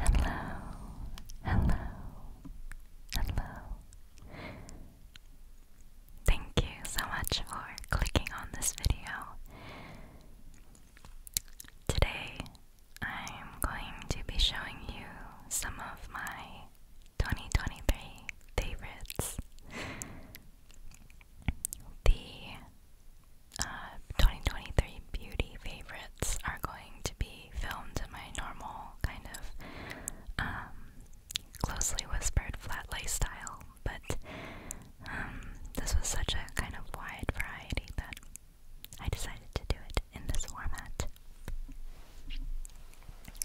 Hello, hello, hello. Thank you so much for clicking on this video. Today I'm going to be showing you some of my 2023 favorites the uh, 2023 beauty favorites are going to be filmed in my normal kind of um, closely whispered flat lay style, but um, this was such a kind of wide variety that I decided to do it in this format.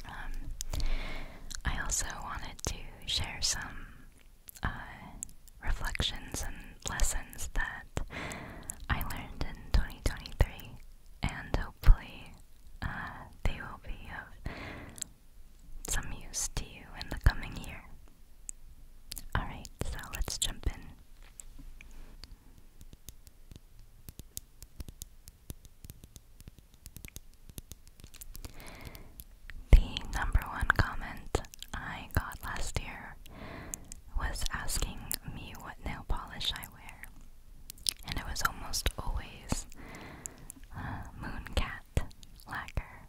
Um, I also wanted to share some uh, reflections and lessons that I learned in 2023, and hopefully uh, they will be of some use to you in the coming year. Alright, so let's jump in. The number one comment I got last year was asking me what nail polish I wear, and it was almost always uh, Mooncat lacquer.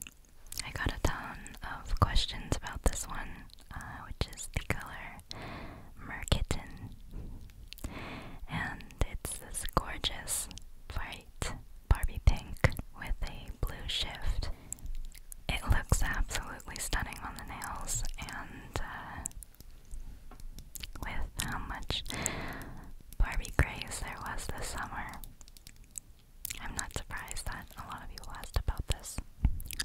I got a ton of questions about this one, uh, which is the color Merkitten, and it's this gorgeous bright Barbie pink with a blue shift. It looks absolutely stunning on the nails, and uh, with how much Barbie craze there was this summer, I'm not surprised that a lot of people asked about this.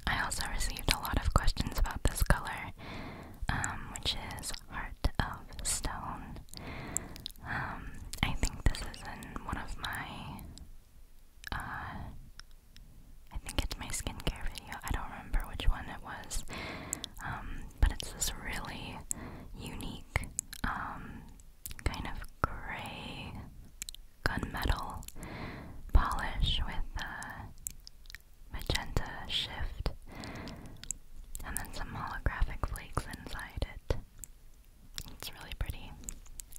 I also received a lot of questions about this color, um, which is Heart of Stone. Um, I think this is in one of my uh, I think it's my skincare video. I don't remember which one it was, um, but it's this really unique um, kind of gray gunmetal polish with a magenta shift, and then some holographic flakes inside it. It's really pretty.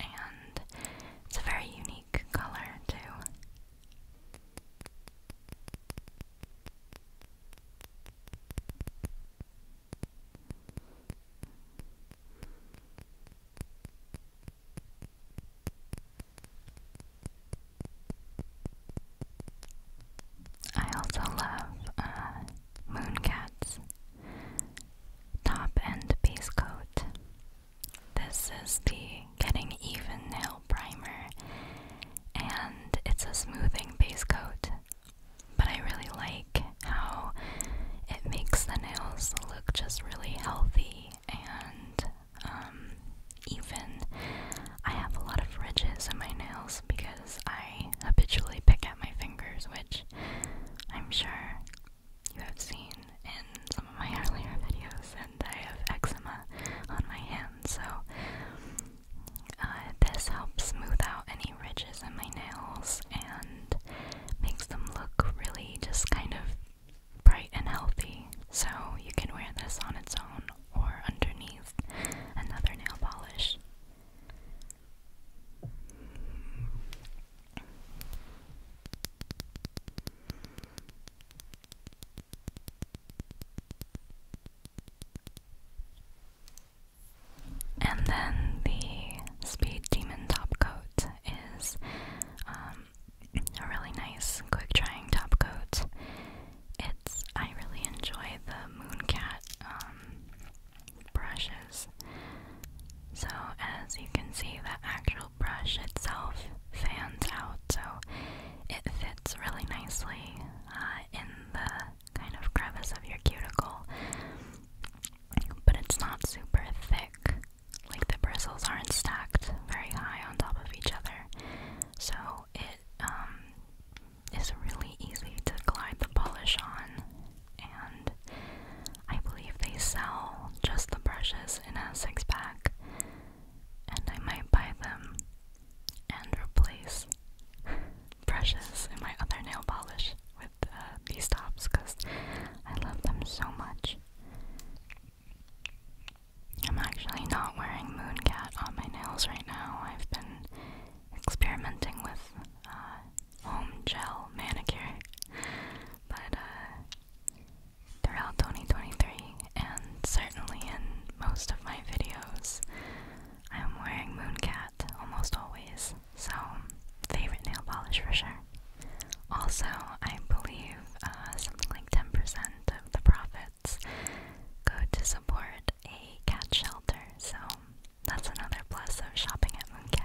And it's a very unique color, too. I also love uh, moon cats top and base coat. This is the Getting Even Nail Primer, and it's a smoothing base coat, but I really like how it makes the nails look just really healthy and um, even. I have a lot of ridges on my nails because I habitually pick at my fingers, which I'm sure you have seen in some of my earlier videos, and I have eczema on my hands, so uh, this helps smooth out any ridges in my nails and makes them look really just kind of bright and healthy. So you can wear this on its own or underneath another nail polish. And then the Speed Demon top coat is um, a really nice, quick drying top coat. It's I really enjoy the Mooncat um, brushes. So as you can see, the actual brush itself fans out, so it fits really nicely uh, in the kind of crevice of your cuticle. But it's not super thick, like the bristles aren't stacked very high on top of each other, so it um, is really easy to glide the polish on and I believe they sell just the brushes in a six pack, and I might buy them and replace brushes in my other nail polish with uh, these tops because I love them so much. I'm actually not wearing Mooncat on my nails right now. I've been experimenting with uh, home gel manicure. But uh, throughout 2023, and certainly in most of my videos, I am wearing Mooncat almost always. So, favorite nail polish for sure. Also, I believe uh, something like 10% of the profits go to support a cat shelter, so that's another plus of shopping at Mooncat.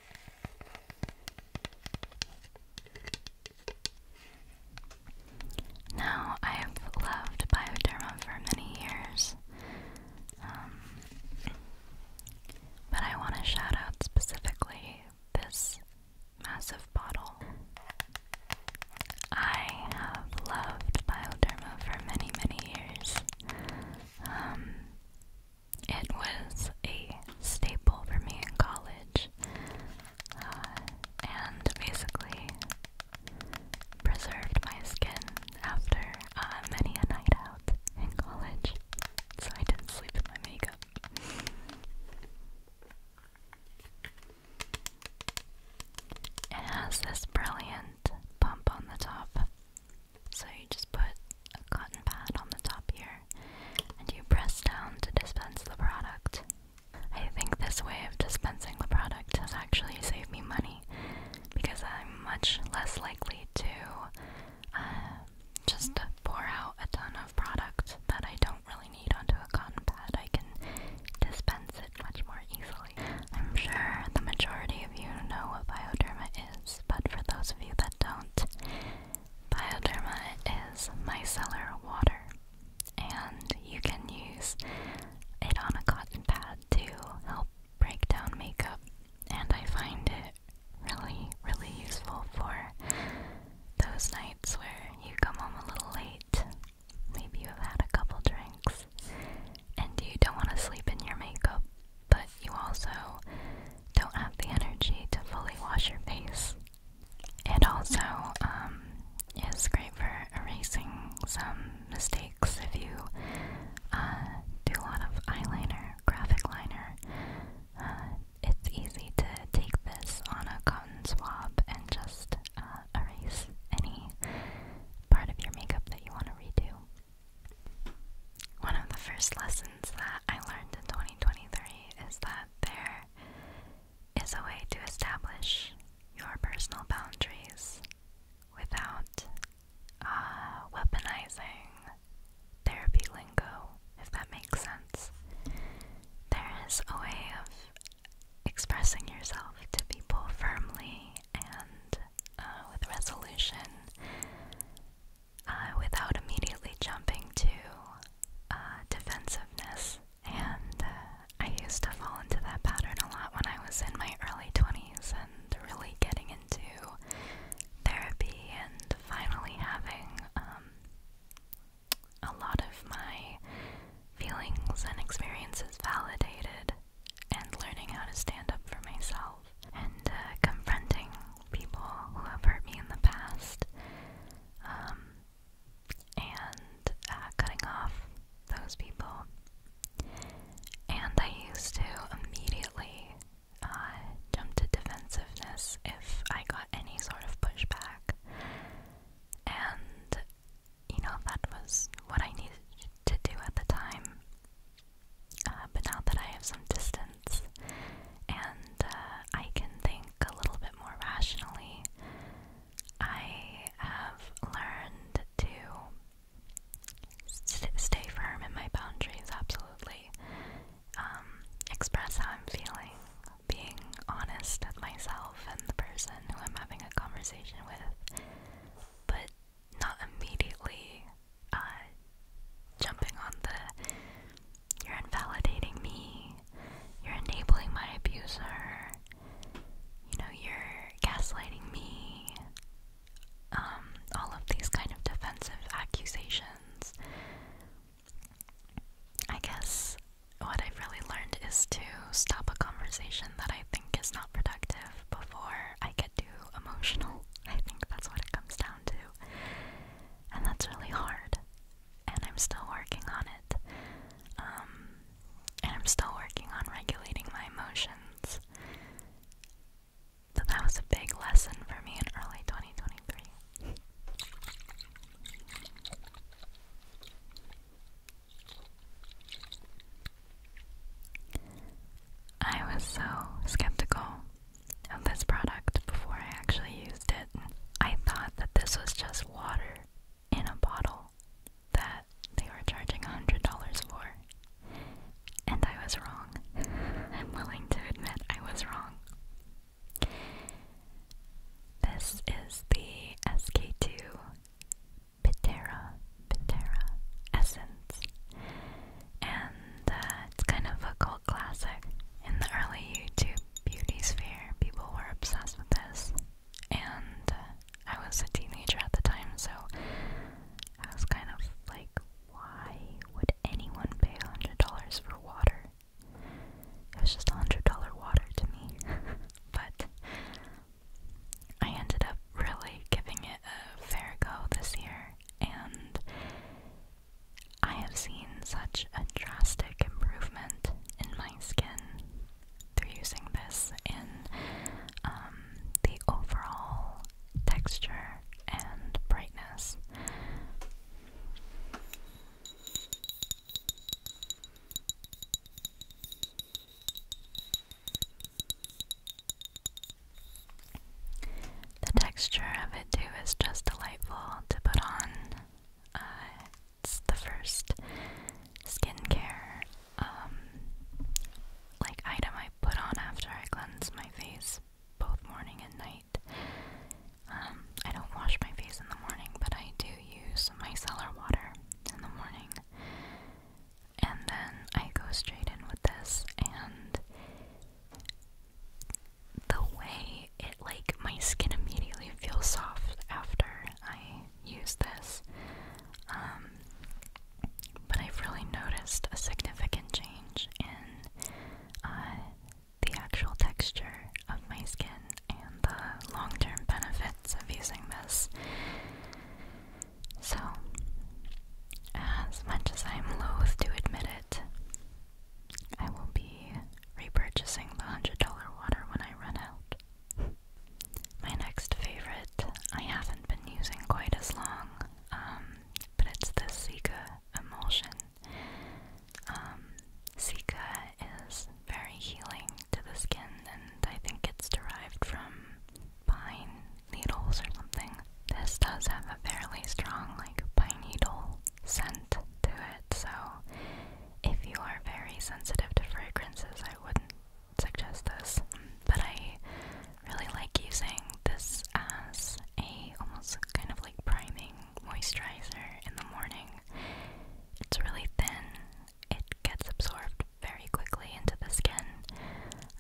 Now, I've loved Bioderma for many years, um, but I want to shout out specifically this massive bottle. I have loved Bioderma for many, many years. Um, it was a staple for me in college, uh, and basically preserved my skin after uh, many a night out in college, so I didn't sleep with my makeup. It has this brilliant bump on the top. So you just put a cotton pad on the top here and you press down to dispense the product. I think this way of dispensing the product has actually saved me money because I'm much less likely to uh, just pour out a ton of product that I don't really need onto a cotton pad. I can dispense it much more easily. I'm sure the majority of you know what bioderma is, but for those of you that don't, Bioderma is micellar water, and you can use it on a cotton pad to help break down makeup. And I find it really, really useful for those nights where you come home a little late. Maybe you have had a couple drinks and you don't want to sleep in your makeup but you also don't have the energy to fully wash your face. and also um, is great for erasing some mistakes if you uh, do a lot of eyeliner, graphic liner. Uh, it's easy to take this on a cotton swab and just uh, erase any part of your makeup that you want to redo one of the first lessons that I learned in 2023 is that there is a way to establish your personal boundaries without uh, weaponizing therapy lingo, if that makes sense. There is a way of expressing yourself to people firmly and uh, with resolution uh, without immediately jumping to uh, defensiveness. And uh, I used to fall into that pattern a lot when I was in my early 20s and really getting into therapy and finally having um, a lot of my feelings and experiences validated and learning how to stand up for myself and uh, confronting people who have hurt me in the past, um, and uh, cutting off those people. And I used to immediately uh, jump to defensiveness if I got any sort of pushback. And, you know, that was what I needed to do at the time. but now that I have some distance, and uh, I can think a little bit more rationally. I have learned to stay firm in my boundaries, absolutely. Um, express how I'm feeling, being honest with myself and the person who I'm having a conversation with, but not immediately uh, jumping on the you're invalidating me, you're enabling my abuser, you know, you're gaslighting me, um, all of these kind of defensive accusations. I guess what I've really learned is to stop a conversation that I think is not productive before I get too emotional. I think that's what it comes down to and that's really hard. And I'm still working on it. Um, and I'm still working on regulating my emotions. But that was a big lesson for me in early 2023. I was so skeptical of this product before I actually used it. I thought that this was just water in a bottle that they were charging $100 for. And I was wrong. I'm willing to admit I was wrong. This is the SK2 Pitera Pitera Essence and uh, it's kind of a cult classic. In the early YouTube beauty sphere, people were obsessed with this, and uh, I was a teenager at the time, so I was kind of like, why would anyone pay $100 for water? It was just $100 water to me. but I ended up really giving it a fair go this year, and I have seen such a drastic improvement in my skin through using this in um, the overall texture and brightness. The texture of it too is just delightful to put on. Uh, it's the first skincare um, like item I put on after I cleanse my face, both morning and night. Um, I don't wash my face in the morning, but I do use micellar water in the morning. And then I go straight in with this, and the way it like my skin immediately feels soft after I use this. Um, but I've really noticed a significant change in uh, the actual texture of my skin and the long term benefits of using this. So, as much as I'm loath to admit it, I will be repurchasing the $100 water when I run out. My next favorite, I haven't been using quite as long, um, but it's the Sika emulsion. Um, Sika is very healing to the skin, and I think it's derived from pine needles or something. This does have a fairly strong, like, pine needle scent to it, so if you are very sensitive to fragrances, I wouldn't suggest this. But I really like using this as a almost kind of like priming moisturizer in the morning. It's really thin, it gets absorbed very quickly into the skin,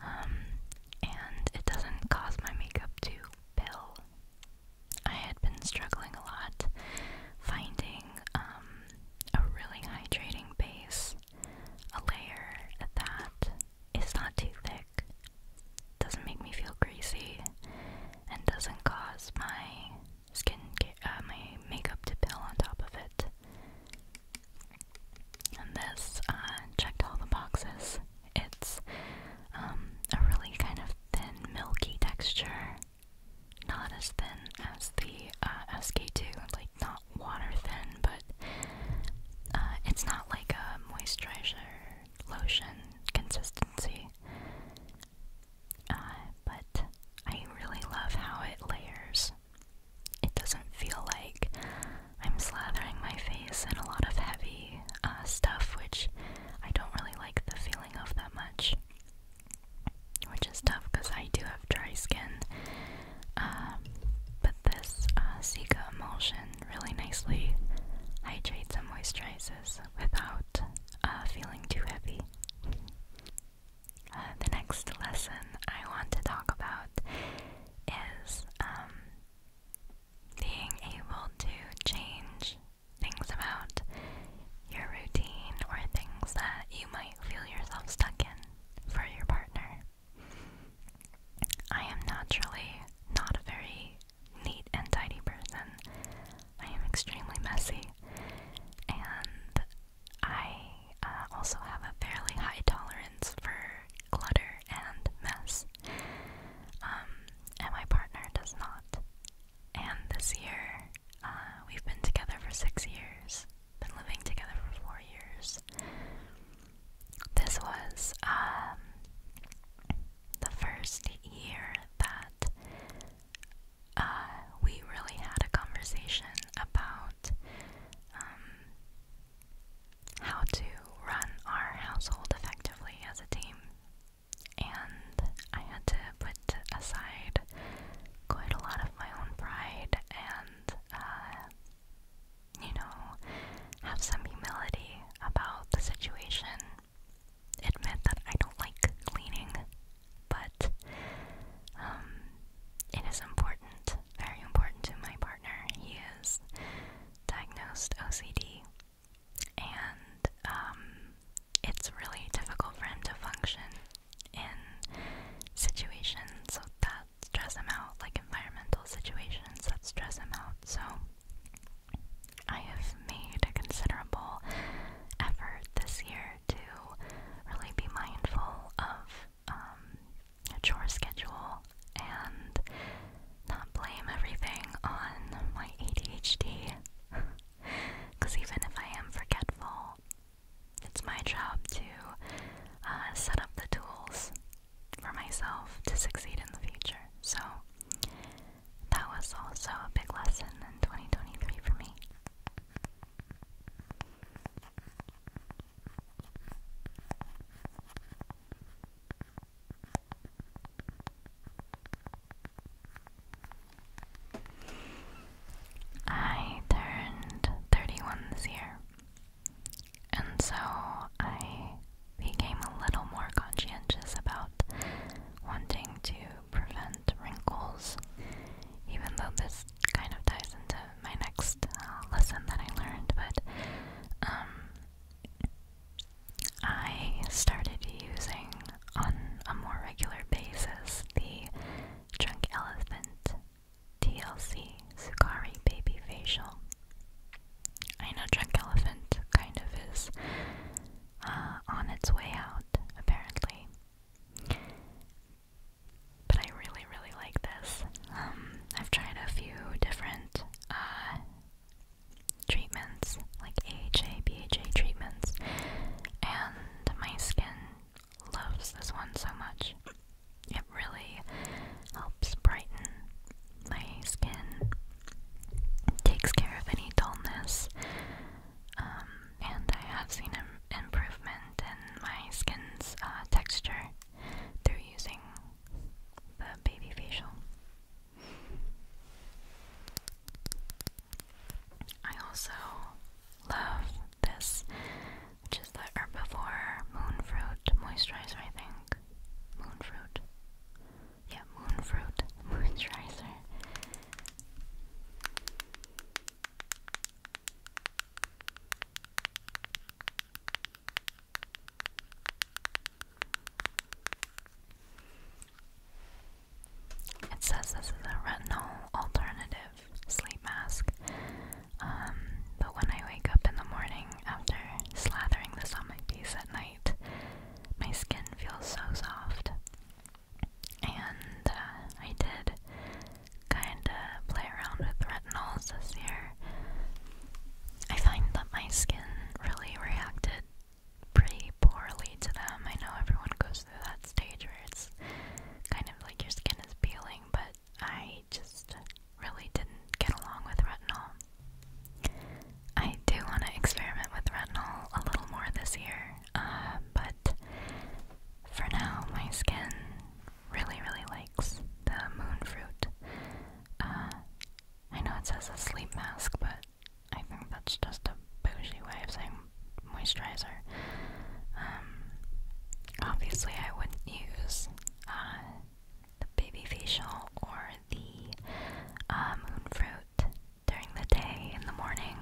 um, and it doesn't cause my makeup to pill I had been struggling a lot finding um, a really hydrating base, a layer that is not too thick, doesn't make me feel greasy, and doesn't cause my skin, uh, my makeup to peel on top of it. And this uh, checked all the boxes. It's um, a really kind of thin, milky texture. Not as thin as the uh, SK2, like not water thin, but uh, it's not like a moisturizer lotion consistency. Uh, but I really love how it layers. It doesn't feel like I'm slathering my face in a lot of heavy stuff, which I don't really like the feeling of that much, which is tough because I do have dry skin. Um, but this uh, emulsion really nicely hydrates and moisturizes without uh, feeling too heavy. Uh, the next lesson I want to talk about is um, being able to change things about your routine or things that you might feel yourself stuck in for your partner. I am naturally not a very neat and tidy person. I am extremely messy, and I uh, also have a fairly high tolerance for clutter and mess. Um, and my partner does not. And this year, uh, we've been together for six years, been living together for four years. This was um, the first year that uh, we really had a conversation about um, how to run our household effectively as a team and I had to put aside quite a lot of my own pride and, uh, you know, have some humility about the situation. Admit that I don't like cleaning, but um, it is important, very important to my partner. He is diagnosed OCD, and um, it's really difficult for him to function in situations that stress him out, like environmental situations that stress him out. So I have made a considerable effort this year to really be mindful of um, a chore schedule and not blame everything on my ADHD. Because even if I am forgetful, it's my job to uh, set up the tools for myself to succeed in the future. So that was also a big lesson in 2023 for me. I turned 31 this year, and so I became a little more conscientious about wanting to prevent wrinkles, even though this kind of ties into my next uh, lesson that I learned, but um, I started using on a more regular basis the Drunk Elephant TLC Sukari Baby Facial. I know Drunk Elephant kind of is uh, on its way out, apparently. But I really, really like this. Um, I've tried a few different uh, treatments, like AHA, BHA treatments, and my skin loves this one so much. It really helps brighten my skin, takes care of any dullness, um, and I have seen an improvement in my skin's uh, texture through using the baby facial. I also love this, which is the Herbivore Moon Moisturizer, I think. Moon Yeah, Moon Moisturizer. It says this is a retinol alternative sleep mask. Um, but when I wake up in the morning after slathering this on my face at night, my skin feels so soft. And uh, I did kind of play around with retinols this year. I find that my skin really reacted pretty poorly to them. I know everyone goes through that stage where it's kind of like your skin is peeling, but I just really didn't get along with retinol. I do want to experiment with retinol a little more this year, uh, but for now, my skin really, really likes the moon fruit. Uh, I know it says a sleep mask, but I think that's just a bougie way of saying moisturizer. Um, obviously, I wouldn't use uh, the baby facial or the uh, moon fruit during the day, in the morning.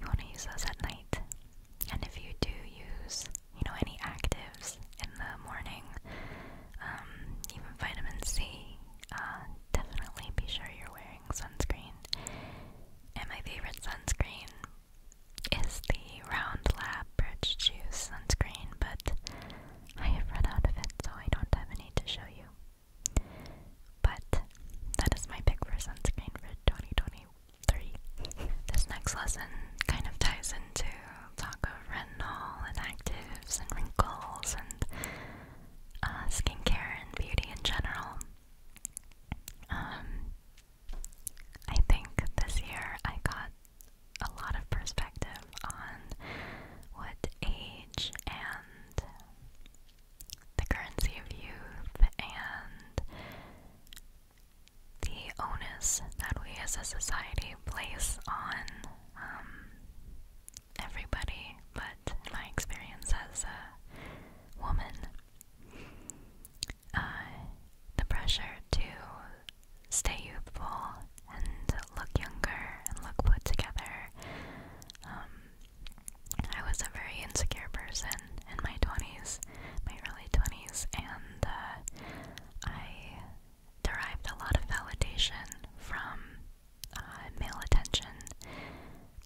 You want to use those at night. And if you do use, you know, any actives in the morning, um, even vitamin C, uh, definitely be sure you're wearing sunscreen. And my favorite sunscreen is the Round Lab Birch Juice sunscreen, but I have run out of it, so I don't have any to show you. But that is my pick for sunscreen for 2023. this next lesson kind of ties into talk of retinol and actives and wrinkles and uh, skincare and beauty in general. Um, I think this year I got a lot of perspective on what age and the currency of youth and the onus that we as a society place on um, everybody, but my experience as a woman, uh, the pressure to stay youthful and look younger and look put together. Um, I was a very insecure person in my 20s, my early 20s, and uh, I derived a lot of validation from uh, male attention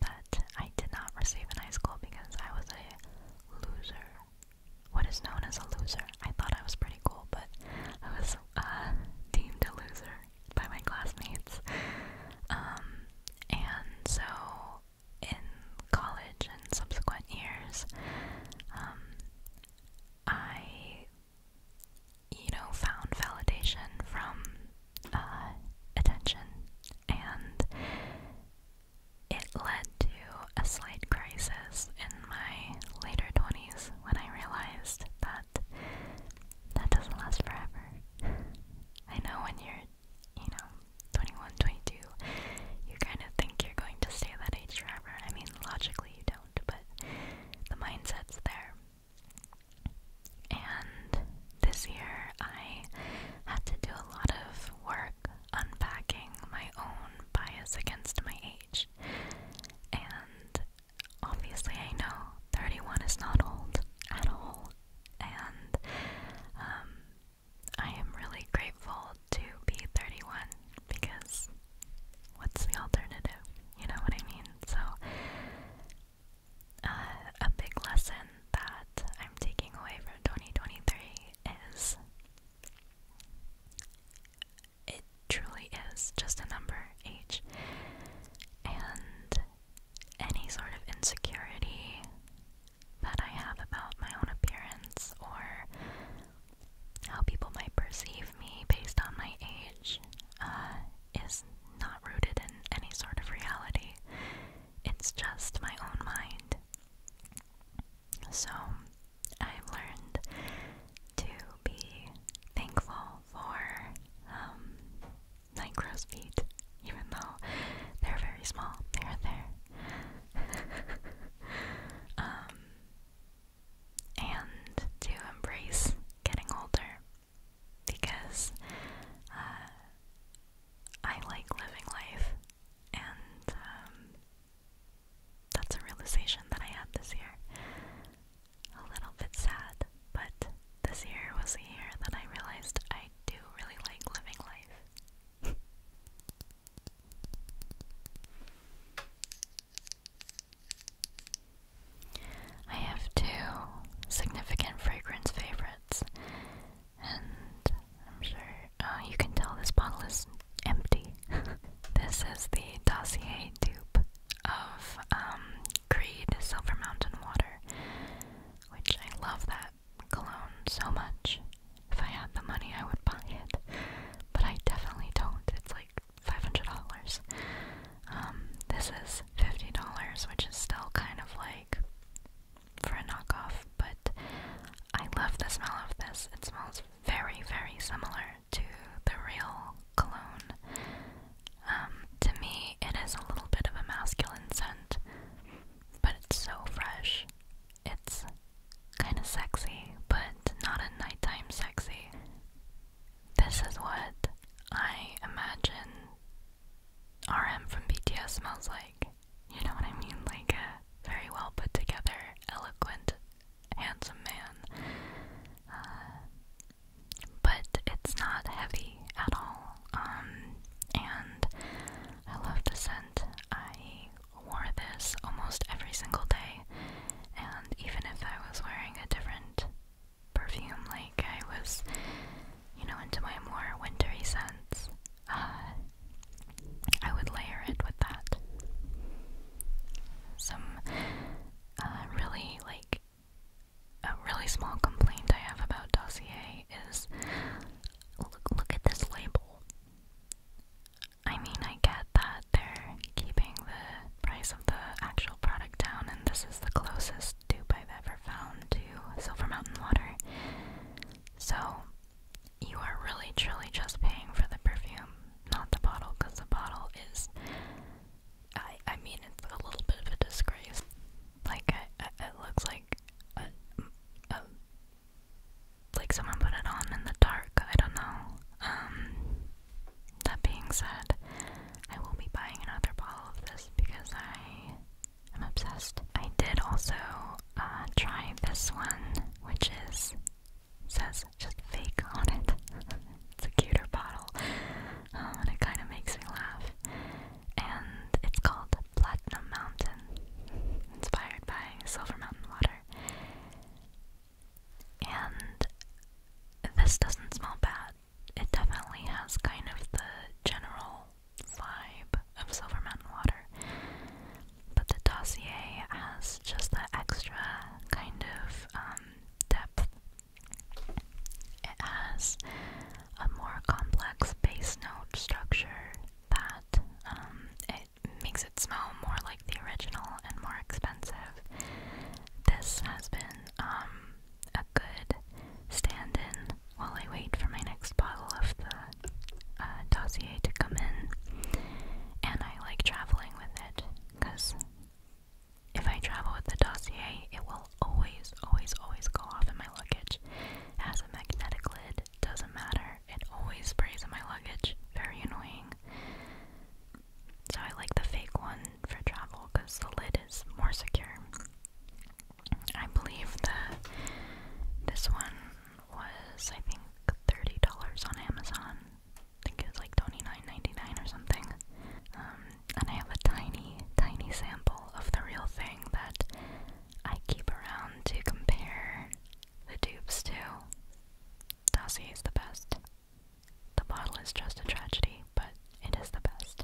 that I did not receive in high school because I was a loser. What is known as a loser? I thought I was pretty cool, but I was uh, deemed a loser by my classmates. Um, and so in college and subsequent years, um, I you know, found validation from uh, attention, and it led to a slight crisis in my later 20s when I realized that that doesn't last forever. I know when you're, you know, 21, 22, you kind of think you're going to stay that age forever. I mean, logically you don't, but the mindset's there. And this year I had to do a lot of work unpacking my own bias against my age. And obviously, I know 31 is not old at all. And um, I am really grateful to be 31 because what's the alternative? You know what I mean? So uh, a big lesson that I'm taking away from 2023 is it truly is just a number, age. And any sort of insecurity that I have about my own appearance or how people might perceive me based on my age uh, is not rooted in any sort of reality. It's just my own mind. So I've learned to be thankful for um, night feet, even though they're very small. They're there. Um, and to embrace getting older because uh, I like living life, and um, that's a realization that I had this year. A little bit sad, but this year was a year that I realized I do really like living life. I have two significant fragrance favorites, and I'm sure uh, you can tell this bottle is empty. this is the Dossier dupe of um, Creed Silver Mountain Water, which I love that cologne so much. If I had the money, I would buy it, but I definitely don't. It's like $500. Um, this is $50, which is still kind of like for a knockoff, but I love the smell of this. It smells very, very similar to the real cologne. Um, to me, it is a little bit of a masculine scent, but it's so fresh. It's kind of sexy, but not a nighttime sexy. This is what I imagine RM from BTS smells like. You know what I mean? Like a very well put together, eloquent, handsome man. Uh, but it's not heavy at all. Um, and I love the scent. I wore this almost every single day, and even if I was wearing a different perfume. Like I was, you know, into my more wintry scents. Uh, I would layer it with that. Some uh, really like a really small complaint I have about Dossier is look, look at this label. I mean, I get that they're keeping the price the actual product down, and this is the closest dupe I've ever found to Silver Mountain Water. So, you are really truly just paying for the perfume, not the bottle, because the bottle is. I, mean, it's a little bit of a disgrace. Like, it looks like. A, like someone put it on in the dark, I don't know. Um, that being said, I will be buying another bottle of this because I am obsessed. I did also uh, try this one, which is says just fake on it. it's a cuter bottle, um, and it kind of makes me laugh. And it's called Platinum Mountain, inspired by Silver Mountain water. And this doesn't smell bad it definitely has kind of the general vibe of Silver Mountain Water. But the dossier has just that extra kind of um, depth. It has a more complex base note structure that um, it makes it smell more like the original and more expensive. This has been um, a good stand in while I wait for my next bottle of the uh, dossier to come in. And I like traveling with it because if I travel with the dossier, it will always, always, always go off in my luggage. has a magnetic lid, doesn't matter. It always sprays in my luggage. Very annoying. So I like the fake one for travel because the lid is more secure. I believe that this one was, I think, thirty dollars on Amazon. I think it was like twenty nine ninety nine or something. Um, and I have a tiny, tiny sample of the real thing that I keep around to compare the dupes to. Dossier is the best. The bottle is just a tragedy, but it is the best.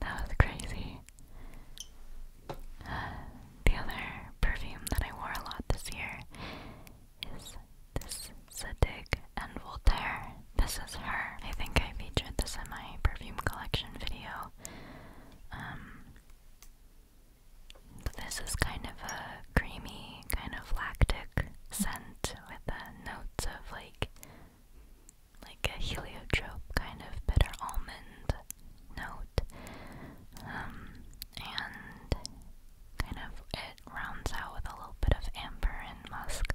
that was crazy. The other perfume that I wore a lot this year is this Zadig and Voltaire. This is her. I think I featured this in my perfume collection video. Um, this is kind of a creamy, kind of lactic scent with the notes of like like a heliotrope kind of bitter almond note. Um, and kind of it rounds out with a little bit of amber and musk.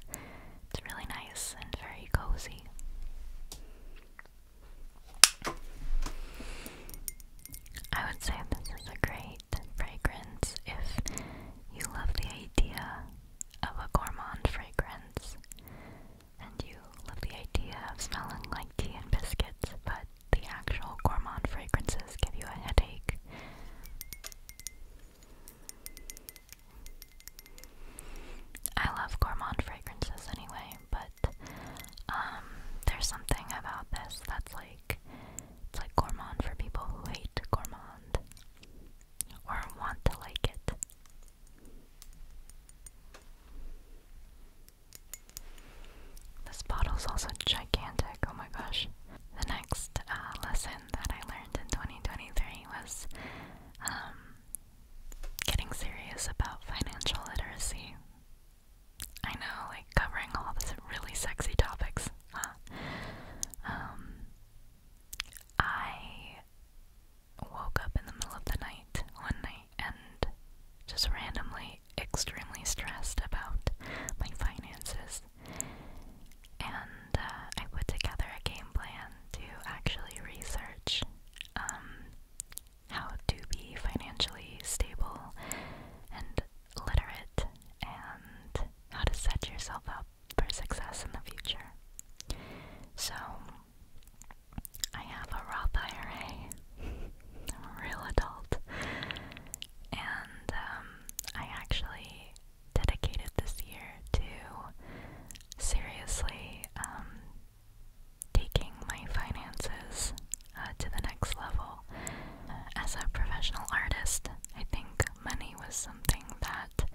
It's really nice and very cozy. I would say this is a great fragrance if you love the idea of a gourmand fragrance and you love the idea of smelling like tea and biscuits, but the actual gourmand fragrances give you a headache. I love gourmand fragrances anyway, but um, there's something about this that's like it's like gourmand for people who hate gourmand or want to like it. This bottle is also gigantic, oh my gosh. The next uh, lesson that I learned in 2023 was um, getting serious about financial literacy. I know, like, covering all these really sexy topics. Um, I woke up in the middle of the night one night and just randomly extremely stressed about my finances. And uh, I put together a game plan to actually research um, how to be financially stable and literate and how to set yourself up for success in the future. So I have a Roth IRA. I'm a real adult. And um, I actually dedicated this year to seriously um, taking my finances uh, to the next level. Uh, as a professional artist, I think money was something that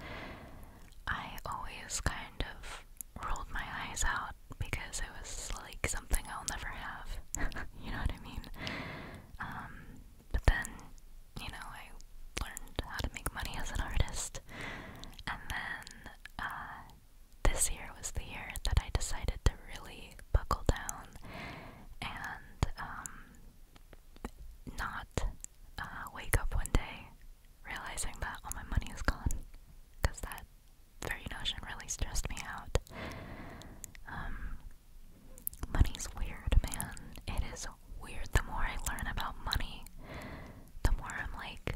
I always kind of rolled my eyes out because it was like something I'll never have. you know what I mean? Um, but then, you know, I learned how to make money as an artist. And then uh, this year was the year that I decided to really buckle down and um, not uh, wake up one day realizing that all my money is gone because that very notion really stressed me out. Um, money's weird, man. It is weird. The more I learn about money, the more I'm like,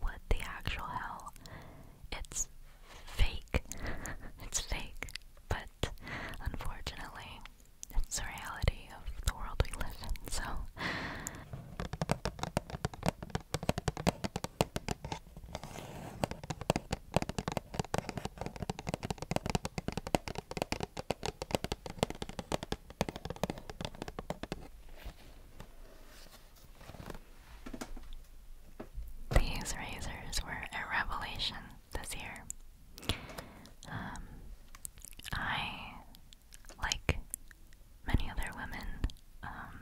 what the actual hell? It's fake. it's fake. But unfortunately, it's the reality of the world we live in, so. These razors were a revelation this year. Um, I like many other women, um,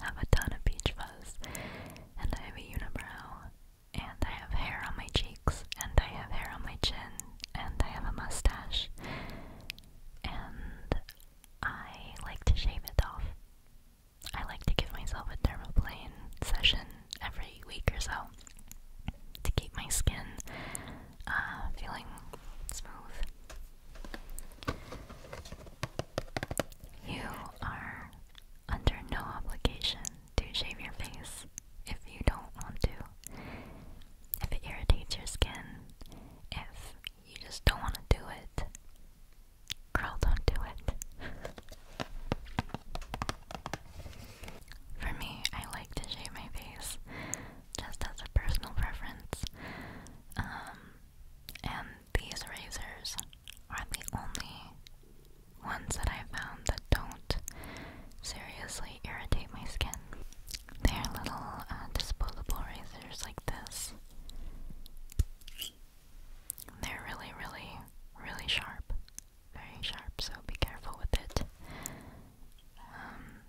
have a ton of peach fuzz, and I have a unibrow, and I have hair on my cheeks, and I have hair on my chin, and I have a mustache, and I like to shave it off. I like to give myself a dermaplane session every week or so to keep my skin uh, feeling smooth you are under no obligation to shave your face if you don't want to. If it irritates your skin, if you just don't want to do it, girl, don't do it. For me, I like to shave my face just as a personal preference. Um, and these razors are the only ones that I found that don't seriously irritate my skin. They're little uh, disposable razors like this. They're really, really, really sharp. Very sharp, so be careful with it. Um,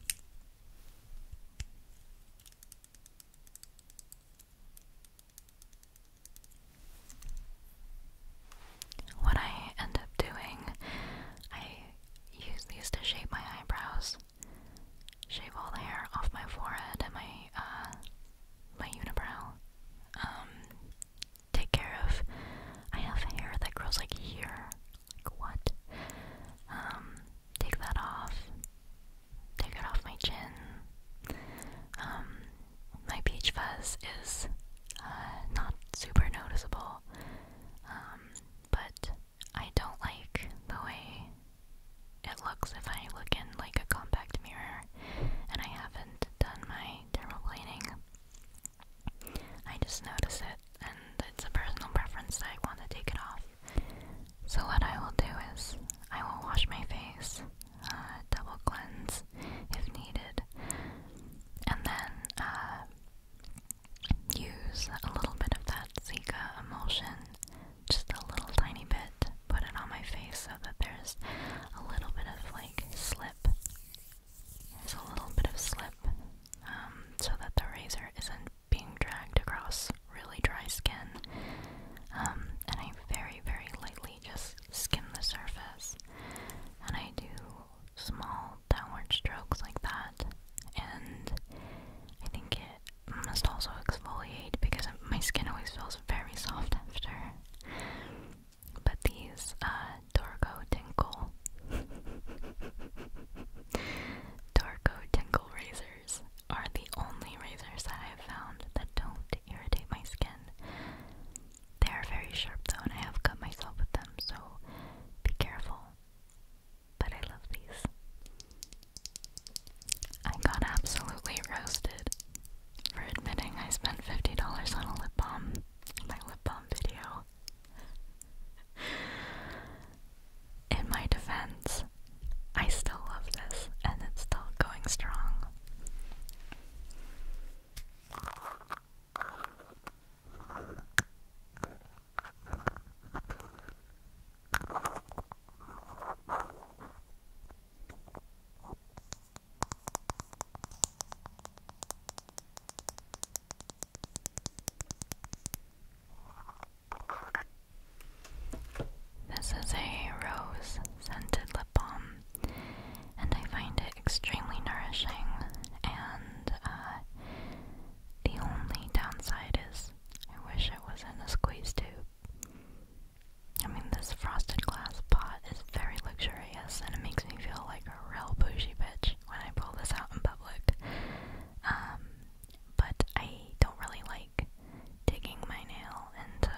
what I end up doing, I use to shape my eyebrows, shave all the hair off my forehead and my uh, my unibrow. Um, take care of. I have hair that grows like here. what? Um, take that off, take it off my chin. Um, my peach fuzz is uh, not super noticeable, um, but I don't like the way it looks if I look in like a compact mirror, and I haven't done my thermoplaning. I just notice it, and it's a personal preference that I want to take it off. So, what I will do is I will wash my face, uh, double cleanse if needed, and then uh, use a little bit of that Zica emulsion, just a little tiny bit, put it on my face so that there's a little bit of like slip. There's a little bit of slip um, so that the razor isn't being dragged across really dry skin. Um, and I very, very lightly just skim the surface. And I do small downward strokes like that. And I think it must also exfoliate because my skin always feels very soft after. But these, uh, Dorco Tinkle. Dorco Tinkle razors are the only razors that I have found that don't irritate my skin. They are very sharp though, and I have cut myself with them, so be careful. But I love these. I got absolutely roasted for admitting I spent $50 on a lip balm my lip balm video in my defense, I still love this and it's still going strong. This is a rose scented lip balm, and I find it extremely nourishing. And uh, the only downside is I wish it was in a squeeze tube. I mean, this frosted glass pot is very luxurious, and it makes me feel like a real bougie bitch when I pull this out in public. Um, but I don't really like digging my nail into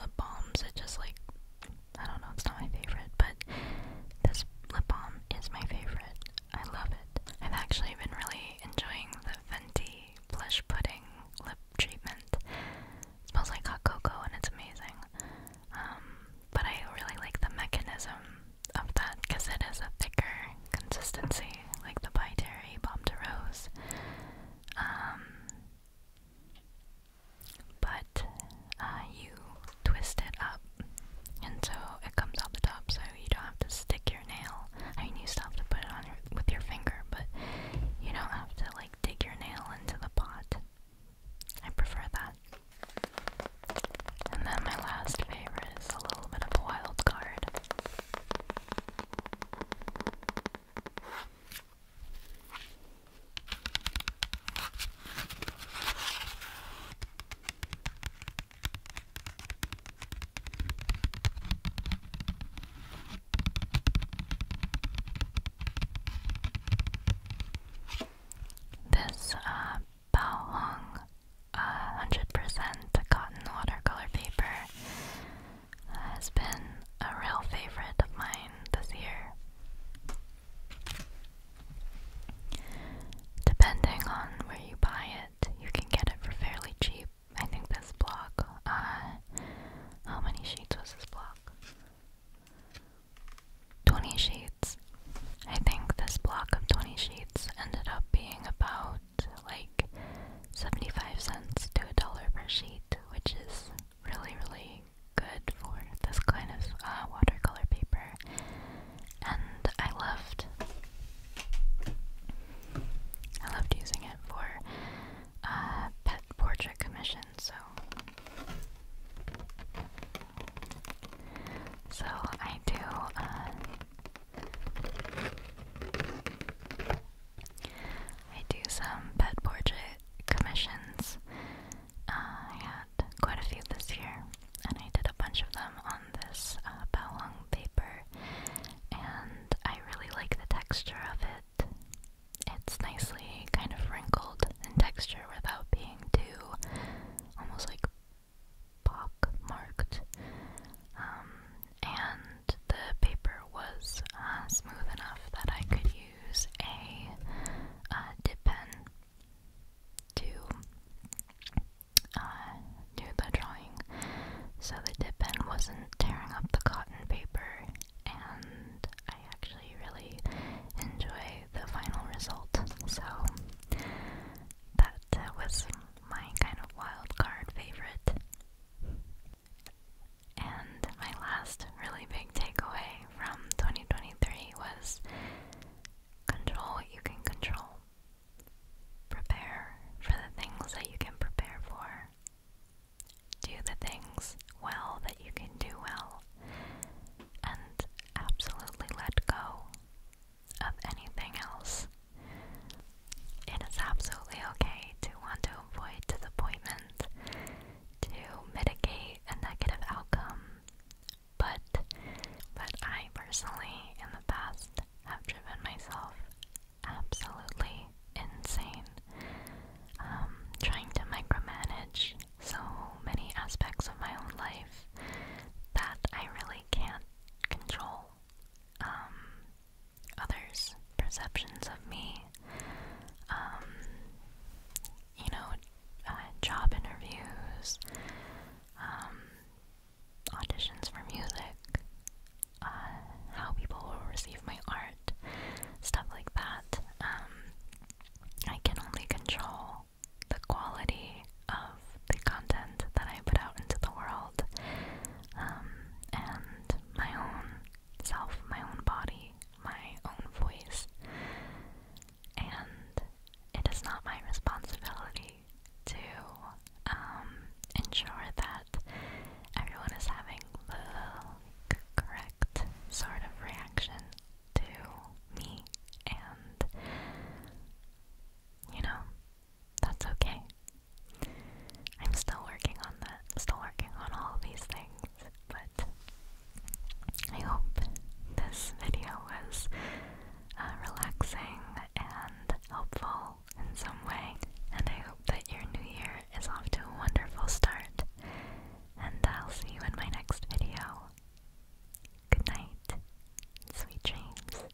lip balms. It just like I don't know, it's not my favorite, but this lip balm is my favorite. I love it. I've actually been really enjoying the Fenty Blush Pudding lip treatment. It smells like hot cocoa and it's amazing. Um, but I really like the mechanism of that because it is a thicker consistency like the Pyteri, Bombterose. Um but uh, you twist it up and so it comes out the top so you don't have to stick your nail. I mean you still have to put it on with your finger, but you don't have to like dig your nail into the pot. I prefer that. And then my last favorite is a little bit of a wild card. This uh, Bao Hong 100% uh, cotton watercolor paper has been a real favorite of mine this year. Depending on where you buy it, you can get it for fairly cheap. I think this block, uh, how many sheets was this block? 20 sheets. I think this block of 20 sheets ended up being about like 75 cents to a dollar per sheet, which is really, really good for this kind of uh, watercolor paper. And I loved, I loved using it for uh, pet portrait commissions. So, so I do. Uh, I do some pet portrait commissions. Uh, I had quite a few this year, and I did a bunch of them on this uh, paper, and I really like the texture of it. It's nicely kind of wrinkled in texture without being too almost like pock marked. Um, and the paper was uh, smooth enough that I could use a uh, dip pen to uh, do the drawing. So the dip pen wasn't tearing up the cotton paper, and I actually really enjoy the final result. So that was my kind of wild card favorite. And my last really big takeaway from 2023 was control what you can control. Prepare for the things that you can prepare for. Do the things well that you can do well. And absolutely let go of anything else it is absolutely okay to want to avoid disappointment, to mitigate a negative outcome, but but I personally in the past have driven myself absolutely insane. Um, trying to micromanage so many aspects of my own life that I really can't control. Um, others' perceptions of me. Um, you know, uh, job interviews, um, auditions for music, uh, how people will receive my art, stuff like that. Um, I can only control the quality of the content that I put out into the world. and my own self, my own body, my own voice. And it is not my responsibility to um, ensure that everyone is having the correct sort of reaction to me and, you know, that's okay. I'm still working on that, still working on all these things, but I hope this video was uh, relaxing and helpful in some way, and I hope that your new year is off to a wonderful start, and I'll see you in my next video. Good night, sweet dreams.